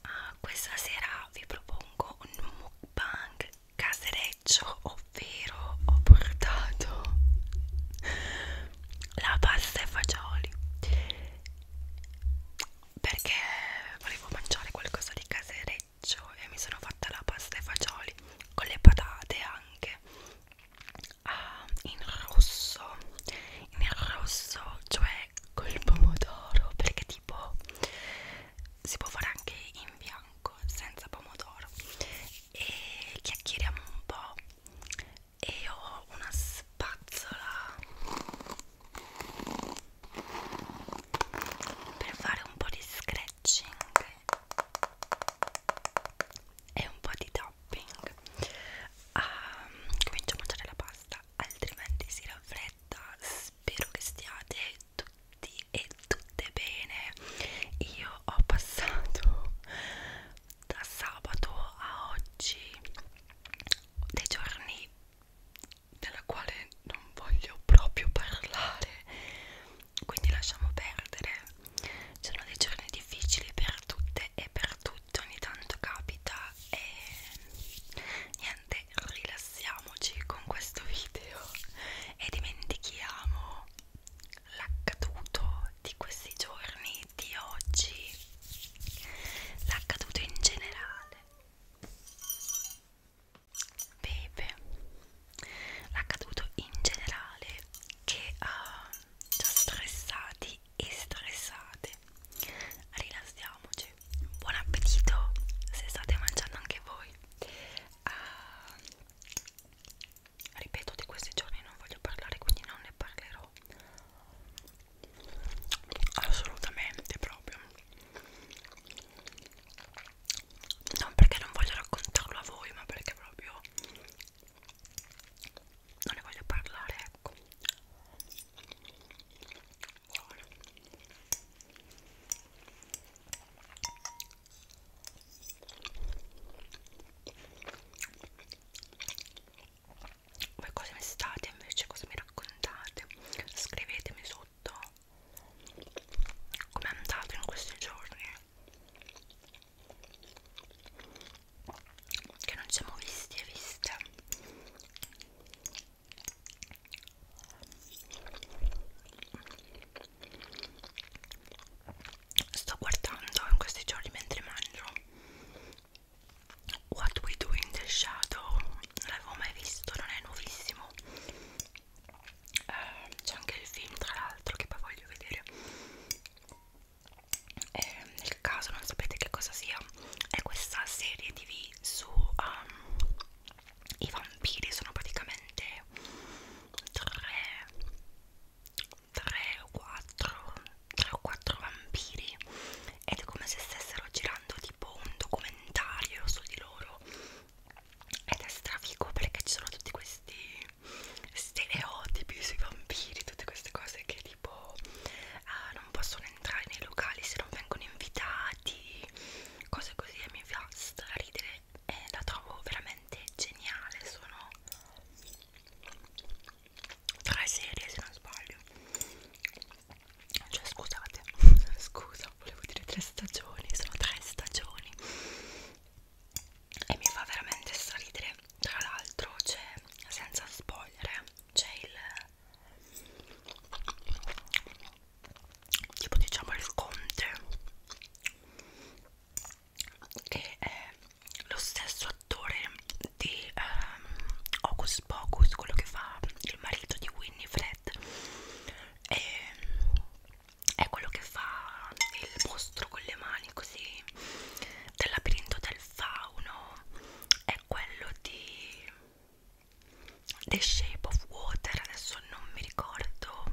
Ah, questa sera vi propongo un mukbang casereccio, ovvero ho portato la pasta e fagioli perché volevo mangiare qualcosa di casereccio e mi sono fatta la pasta e fagioli con le patate anche uh, in rosso in rosso cioè col pomodoro perché tipo si può fare anche in bianco senza pomodoro e chiacchieriamo un po' e ho una spazzola per fare un po' di scratching e un po' di topping um, ehm, comincio a mangiare la pasta altrimenti si raffredda spero che stiate tutti e tutte bene io ho passato da sabato a oggi dei giorni della quale non voglio proprio parlare quindi lasciamo perdere sono dei giorni difficili per tutte e per tutti ogni tanto capita e niente rilassiamoci con questo video e dimentichiamo l'accaduto di questi giorni di oggi l'accaduto in generale Bebe l'accaduto in generale che uh, già stressati e stressate rilassiamoci buon appetito se state mangiando anche voi uh, ripeto di questi giorni non voglio parlare quindi non ne parlerò assolutamente proprio non perché non voglio raccontarlo a voi ma perché proprio non ne voglio parlare ecco buono voi cosa mi state invece cosa mi raccontate scrivetemi sotto come è andato in questi giorni che non siamo visti e viste sto guardando in questi giorni mentre mangio What We Do in the Shadow non l'avevo mai visto, non è nuovissimo eh, c'è anche il film tra l'altro che poi voglio vedere eh, nel caso non sapete che cosa sia è questa serie tv su um, i vampiri sono praticamente tre tre o quattro tre o quattro vampiri ed è come se stessero girando tipo un documentario su di loro ed è strafico perché ci sono tutti questi stereotipi sui vampiri, tutte queste cose che tipo uh, non possono entrare nei locali se non vengono invitati, cose così e mi fa straridere e eh, la trovo veramente geniale, sono tre serie se non sbaglio. Cioè scusate, scusa, volevo dire tre stagioni, sono tre stagioni e mi fa veramente sorridere tra l'altro c'è senza spogliere c'è il tipo diciamo il conte che è lo stesso attore di um, Hocus Pocus quello che fa il marito di Winnie Fred e è quello che fa il mostro con le mani così del labirinto del fauno è quello di The Shape of Water adesso non mi ricordo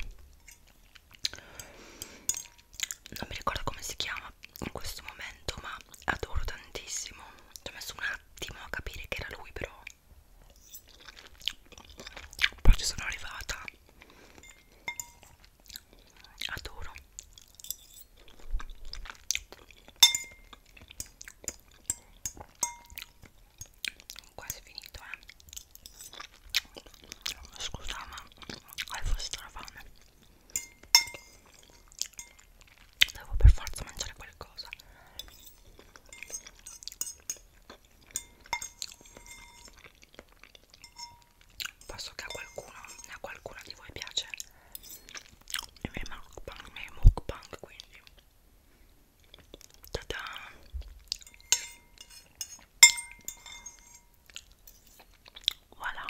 non mi ricordo come si chiama in questo momento ma adoro tantissimo ci ho messo un attimo a capire che era lui però poi ci sono arrivata adoro quasi finito eh scusa ma avevo strafame devo per forza mangiare qualcosa posso che a qualcuno a qualcuno di voi piace i miei mukbang, i miei mukbang quindi tada voilà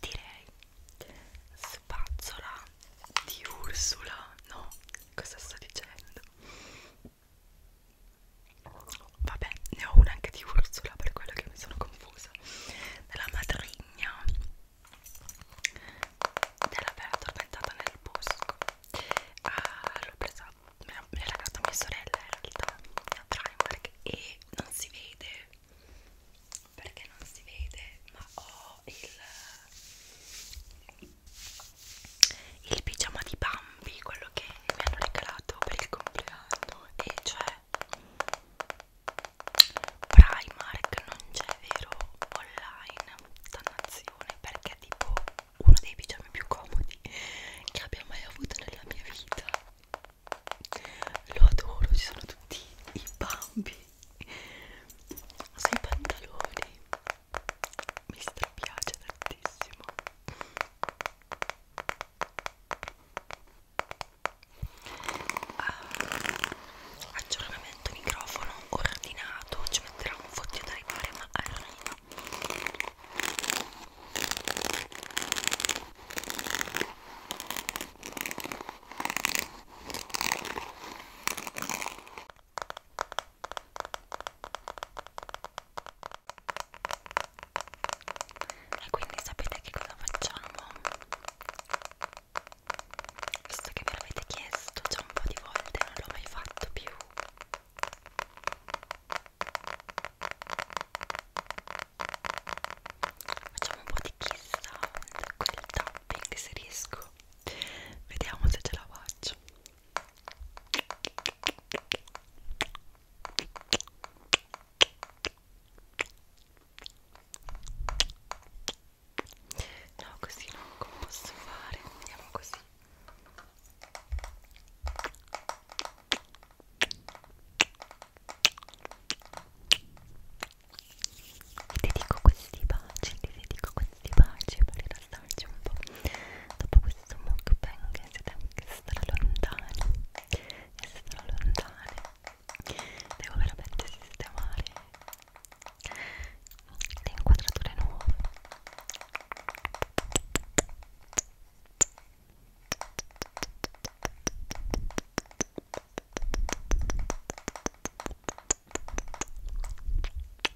direi spazzola di Ursula no cosa sto dicendo vabbè ne ho una anche di Ursula per quello che mi sono confusa della madrigna della bella addormentata nel bosco ah, l'ho presa me l'ha data mia sorella in realtà a Primark e non si vede perché non si vede ma ho il il pigiama di Bambi, quello che mi hanno regalato per il compleanno e cioè Primark non c'è vero online, dannazione, perché è tipo uno dei pigiami più comodi che abbia mai avuto nella mia vita lo adoro, ci sono tutti i bambi sui pantaloni mi strapiace tantissimo uh, aggiornamento microfono ordinato ci metterà un fottio da ripare ma arriva e quindi sapete che cosa facciamo? Visto che me l'avete chiesto già un po' di volte, non l'ho mai fatto più. Facciamo un po' di kiss sound, quel tapping se riesco. Vediamo se ce la faccio. No, così non posso fare, andiamo così. E ti dico questi baci, ti dico questi di pace per rilassarci un po' dopo questo mukbang che siete anche stralontani e stralontane devo veramente sistemare le inquadrature nuove Ciao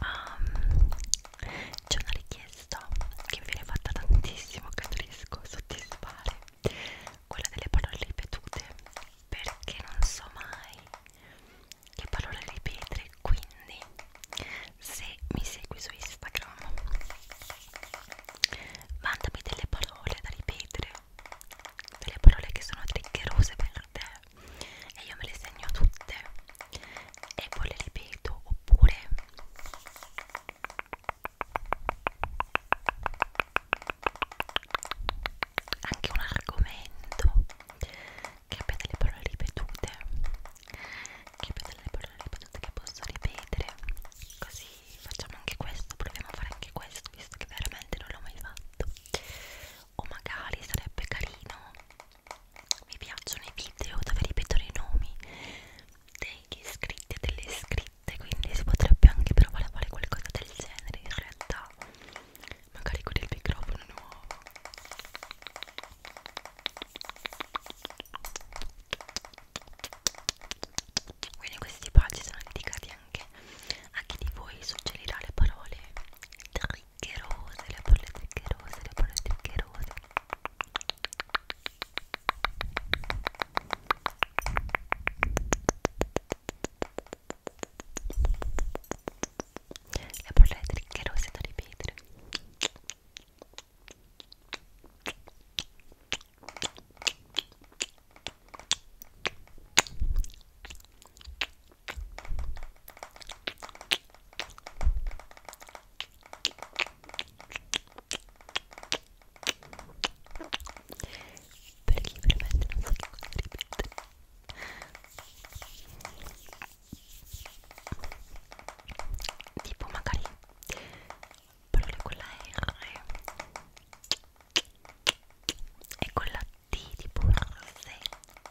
Um, C'è una richiesta che mi viene fatta tantissimo, che non riesco a soddisfare, quella delle parole ripetute, perché non so mai che parole ripetere, quindi se mi segui su Instagram mandami delle parole da ripetere, delle parole che sono triggerose per te e io me le segno tutte e poi le ripeto oppure anche un argomento che abbia delle parole ripetute che abbia delle parole ripetute che posso ripetere così facciamo anche questo proviamo a fare anche questo visto che veramente non l'ho mai fatto o magari sarebbe carino mi piacciono i video dove ripetono i nomi degli iscritti e delle iscritte quindi si potrebbe anche provare a fare qualcosa del genere in realtà magari con il microfono nuovo quindi questi pagine sono dedicati anche a chi di voi suggerirà le parole zuccherose, le bolle zuccherose, le bolle zuccherose le bolle zuccherose da ripetere per chi veramente non sa che cosa ripete tipo magari parole con la R e con la T tipo rosetta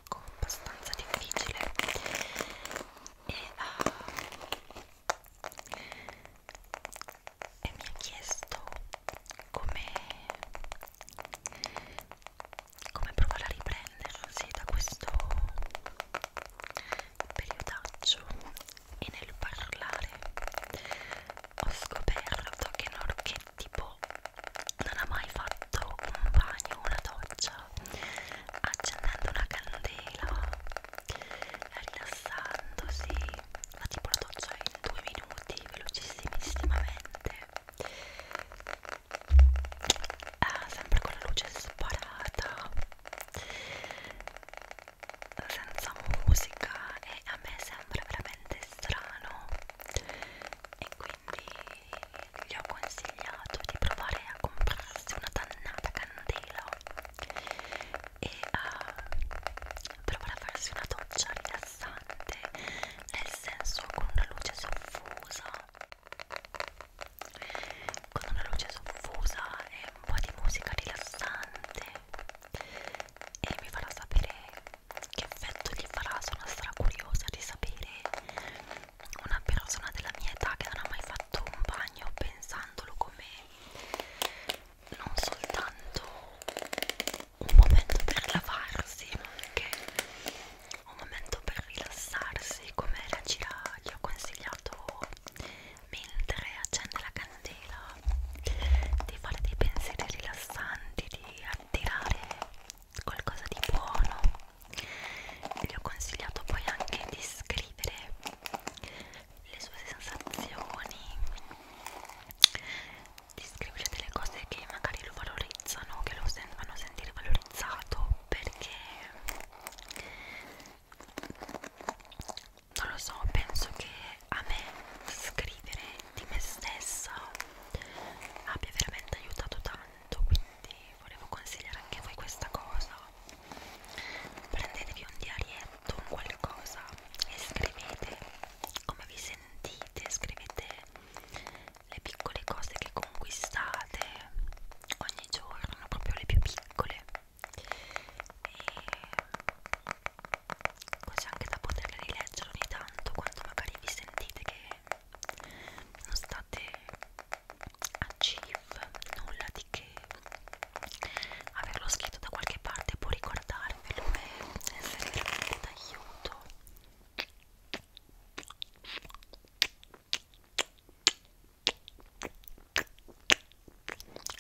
ecco, abbastanza difficile e, uh, e mi ha chiesto come, come provare a riprendersi da questo periodaccio e nel parlare ho scoperto che Norchetti tipo non ha mai fatto un bagno una doccia accendendo una candela rilassandosi fa tipo la doccia in due minuti velocissimissimamente eh, ah, sempre con la luce sparata senza musica e a me sembra veramente strano e quindi gli ho consigliato di provare a comprarsi una dannata candela e a eh, provare a farsi una doccia rilassante nel senso con una luce soffusa con una luce soffusa e un po' di musica rilassante e mi farà sapere che effetto gli farà sono stra curiosa di sapere una persona della mia età che non ha mai fatto un bagno pensandolo come non soltanto un momento per lavarsi ma anche un momento per rilassarsi come la gira gli ho consigliato mentre accende la candela di fare dei pensieri rilassanti di attirare qualcosa di buono gli ho consigliato poi anche di scrivere le sue sensazioni di scrivere delle cose che magari lo valorizzano che lo sen fanno sentire valorizzato perché non lo so penso che a me scrivere di me stessa abbia veramente aiutato tanto tanto quindi volevo consigliare anche a voi questa cosa prendetevi un diarietto un qualcosa e scrivete come vi sentite scrivete le piccole cose che conquistate ogni giorno proprio le più piccole e così anche da poterle rileggere ogni tanto quando magari vi sentite che non state a chief nulla di che averlo scritto da qualche parte può ricordarvelo e essere veramente d'aiuto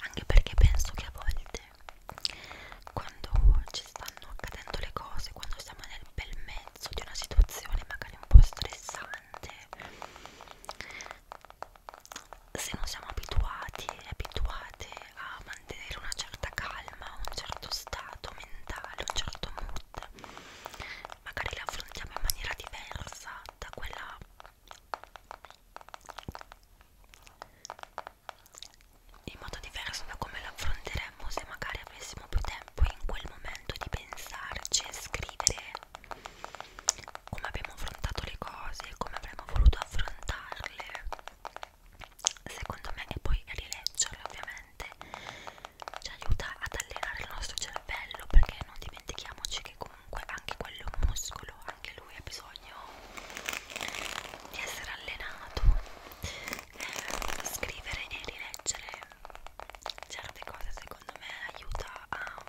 anche perché penso che a volte quando ci stanno accadendo le cose quando siamo nel bel mezzo mezzo di una situazione magari un po' stressante se non siamo abituati e abituate a mantenere una certa calma un certo stato mentale un certo mood magari le affrontiamo in maniera diversa da quella in modo diverso da come l'affronteremmo potremmo, se magari avessimo più tempo in quel momento di pensarci e scrivere come abbiamo affrontato le cose, come avremmo voluto affrontarle, secondo me, e poi rileggerle ovviamente, ci aiuta ad allenare il nostro cervello perché non dimentichiamoci che comunque anche quello è un muscolo, anche lui ha bisogno di essere allenato scrivere e rileggere certe cose secondo me aiuta a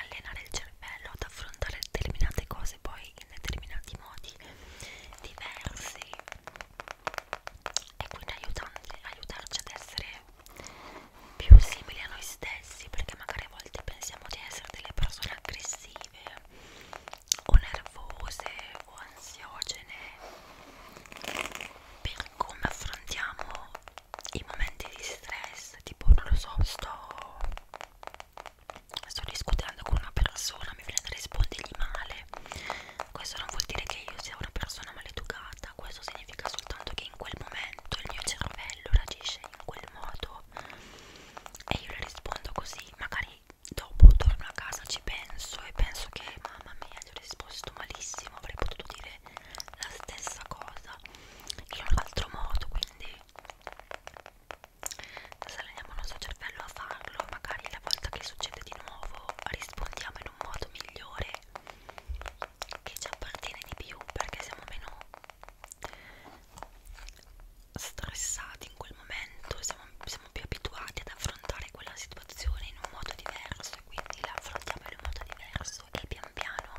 allenare il cervello ad affrontare determinate cose poi in determinati modi diversi e quindi aiutanti, aiutarci ad essere più simili a noi stessi perché magari a volte pensiamo di essere delle persone aggressive o nervose o ansiogene per come affrontiamo i momenti di stress tipo non lo so sto sto discutendo con una persona mi viene da rispondergli male questo non vuol dire che io sia una persona maleducata questo significa soltanto che in quel momento il mio cervello reagisce in quel modo e io le rispondo così magari dopo torno a casa, ci penso e penso che mamma mia gli ho risposto malissimo, avrei potuto dire la stessa cosa in un altro modo, quindi se alleniamo il nostro cervello a farlo, magari la volta che succede di nuovo rispondiamo in un modo migliore che ci appartiene di più perché siamo meno stressati in quel al momento siamo, siamo più abituati ad affrontare quella situazione in un modo diverso e quindi la affrontiamo in un modo diverso e pian piano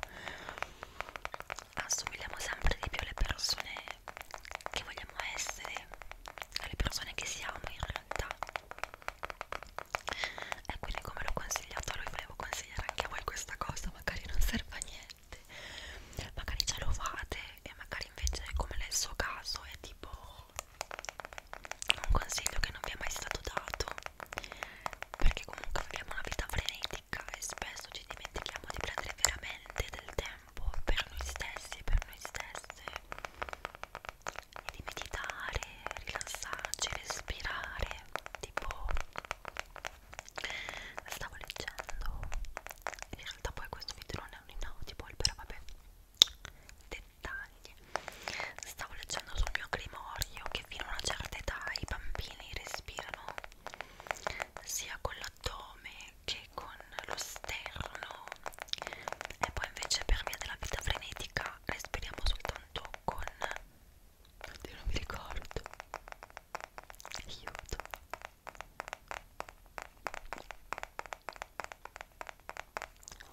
assomigliamo sempre di più alle persone che vogliamo essere, alle persone che siamo in realtà. E quindi come l'ho consigliato a lui volevo consigliare anche a voi questa cosa, magari non serve a niente, magari ce lo fate e magari invece come nel suo caso è tipo un consiglio che non vi è mai stato dato perché comunque abbiamo una vita frenetica e spesso ci dimentichiamo di prendere veramente del tempo per noi stessi, per noi stesse e di meditare, rilassarci, respirare tipo stavo leggendo in realtà poi questo video non è un inaudible però vabbè dettagli stavo leggendo sul mio grimorio che fino a una certa età i bambini respirano sia con l'addome che con lo sterno e poi invece per via della vita frenetica respiriamo soltanto con Oddio, non mi ricordo aiuto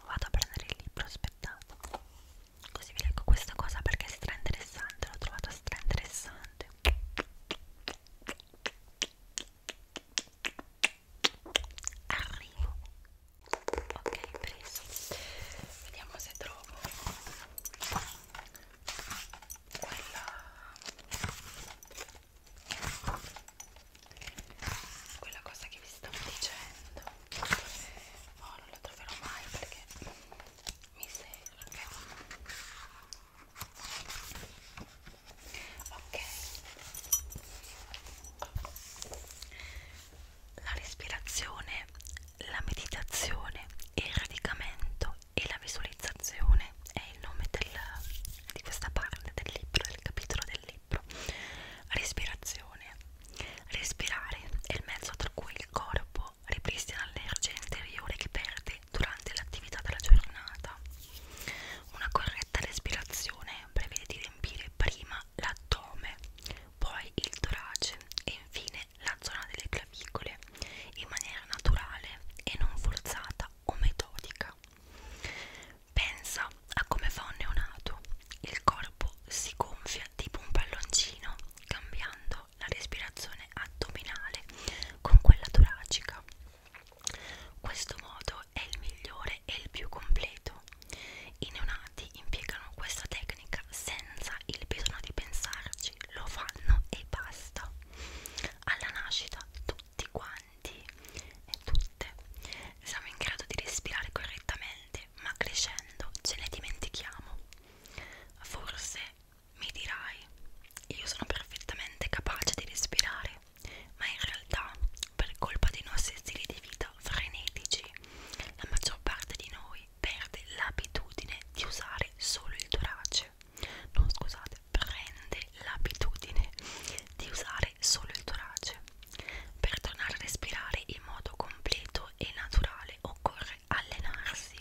Vado a prendere il libro, aspettate. Così vi leggo questa cosa perché è stra interessante, l'ho trovata stra interessante. Arrivo. Ok, preso. Vediamo se trovo quella quella cosa che vi stavo dicendo oh, non la troverò mai perché mi serve ok la respirazione la meditazione il radicamento e la visualizzazione è il nome del, di questa parte del libro, del capitolo del libro. Respirazione. Respirare è il mezzo tra cui il corpo ripristina l'energia interiore che perde durante l'attività della giornata. Una corretta respirazione prevede di riempire prima l'addome, poi il torace e infine la zona delle clavicole in maniera naturale e non forzata o metodica. Pensa a come fa un neonato. Il corpo si gonfia tipo un palloncino, cambiando la respirazione addominale con quella toracica. Questo modo è il migliore e il più completo. I neonati impiegano questa tecnica senza il bisogno di pensarci, lo fanno e basta. Alla nascita tutti quanti avanti e tutte siamo in grado di respirare correttamente, ma crescendo ce ne dimentichiamo. Forse mi dirai, io sono perfettamente capace di respirare, ma in realtà per colpa dei nostri stili di vita frenetici, la maggior parte di noi perde l'abitudine di usare solo il torace. No, scusate, prende l'abitudine di usare solo il torace. Per tornare a respirare in modo completo e naturale occorre allenarsi.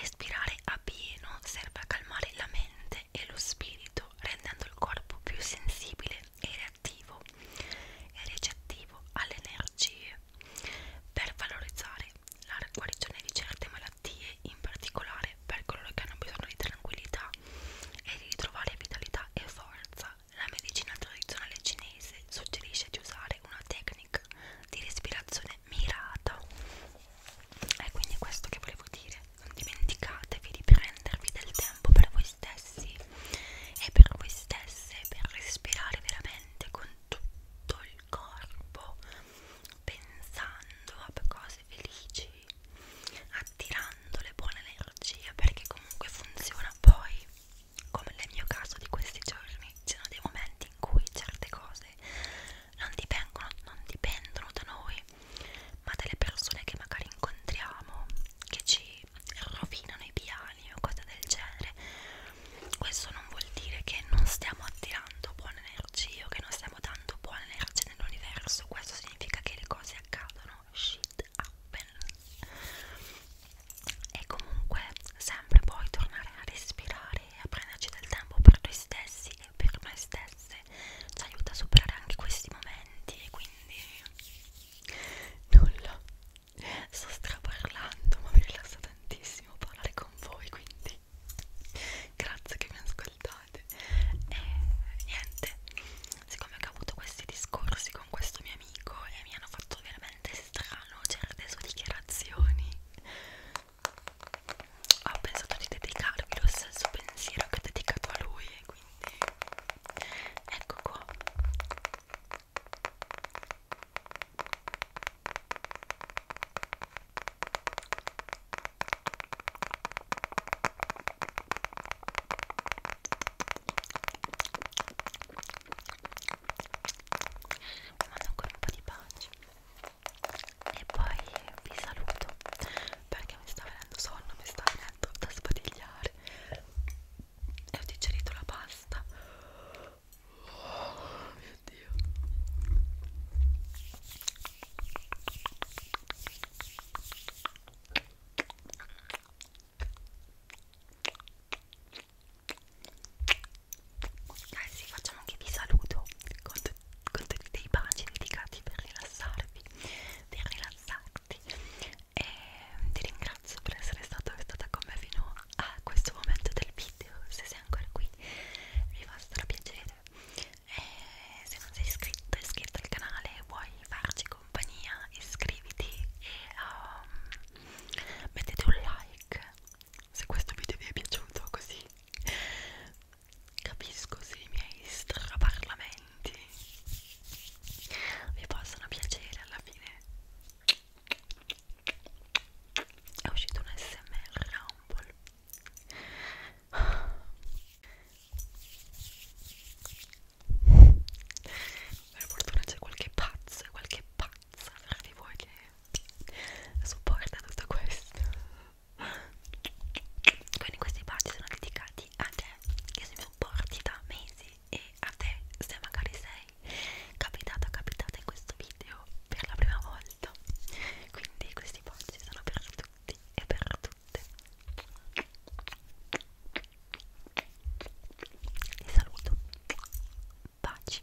Respirare a pieno serve a calmare la mente e lo spirito, rendendo il corpo più sensibile e reattivo e recettivo alle energie. Per valorizzare la guarigione di certe malattie, in particolare per coloro che hanno bisogno di tranquillità e di ritrovare vitalità e forza. La medicina tradizionale cinese suggerisce di usare una tecnica di respirazione mirata. È quindi questo che volevo dire. Non dimenticatevi di prendervi del tempo per voi stessi e per voi stesse per respirare veramente con tutto il corpo, pensando a cose felici, lei attirando le buone energie perché comunque funziona poi come nel mio caso di questi giorni ci sono dei momenti in cui certe cose non dipendono, non dipendono da noi ma dalle persone che magari incontriamo che ci rovinano i piani o cose del genere questo non vuol dire che non stiamo attirando buone energie o che non stiamo dando tanto buona energia nell'universo questo significa che le cose accadono shit happen e comunque sempre poi tornare a respirare e a prenderci del tempo per noi stessi e per noi stesse ci aiuta a superare anche questi momenti e quindi nulla sto straparlando ma mi rilassa tantissimo parlare con voi quindi grazie che mi ascoltate scusate e niente siccome ho avuto questi discorsi con questo mio amico e mi hanno fatto veramente strano certe sue dichiarazioni ho pensato di dedicarvi lo stesso pensiero che ho dedicato a lui e quindi ecco qua vi mando ancora un po' di pace e poi vi saluto perché mi sta venendo sonno mi sta venendo da sbadigliare e ho digerito la pasta oh mio dio eh sì, facciamo anche vi saluto con, con tutti dei baci dedicati per rilassarvi, per rilassarti e ehm, ti ringrazio per essere stato, stata con me fino a questo momento del video, se sei ancora qui mi fa piacere e eh, se non sei iscritto, iscritto al canale e vuoi farci compagnia iscriviti e um, mettete un like se questo video vi è piaciuto così capisco se i miei straparlamenti vi possono piacere alla fine è uscito un smr rumble per fortuna c'è qualche pazzo, qualche pazza fra di voi che supporta tutto questo. Quindi questi pazzi sono dedicati a te che se mi supporti da mesi e a te se magari sei capitata capitata in questo video per la prima volta. Quindi questi pazzi sono per tutti tutti e per tutte vi saluto baci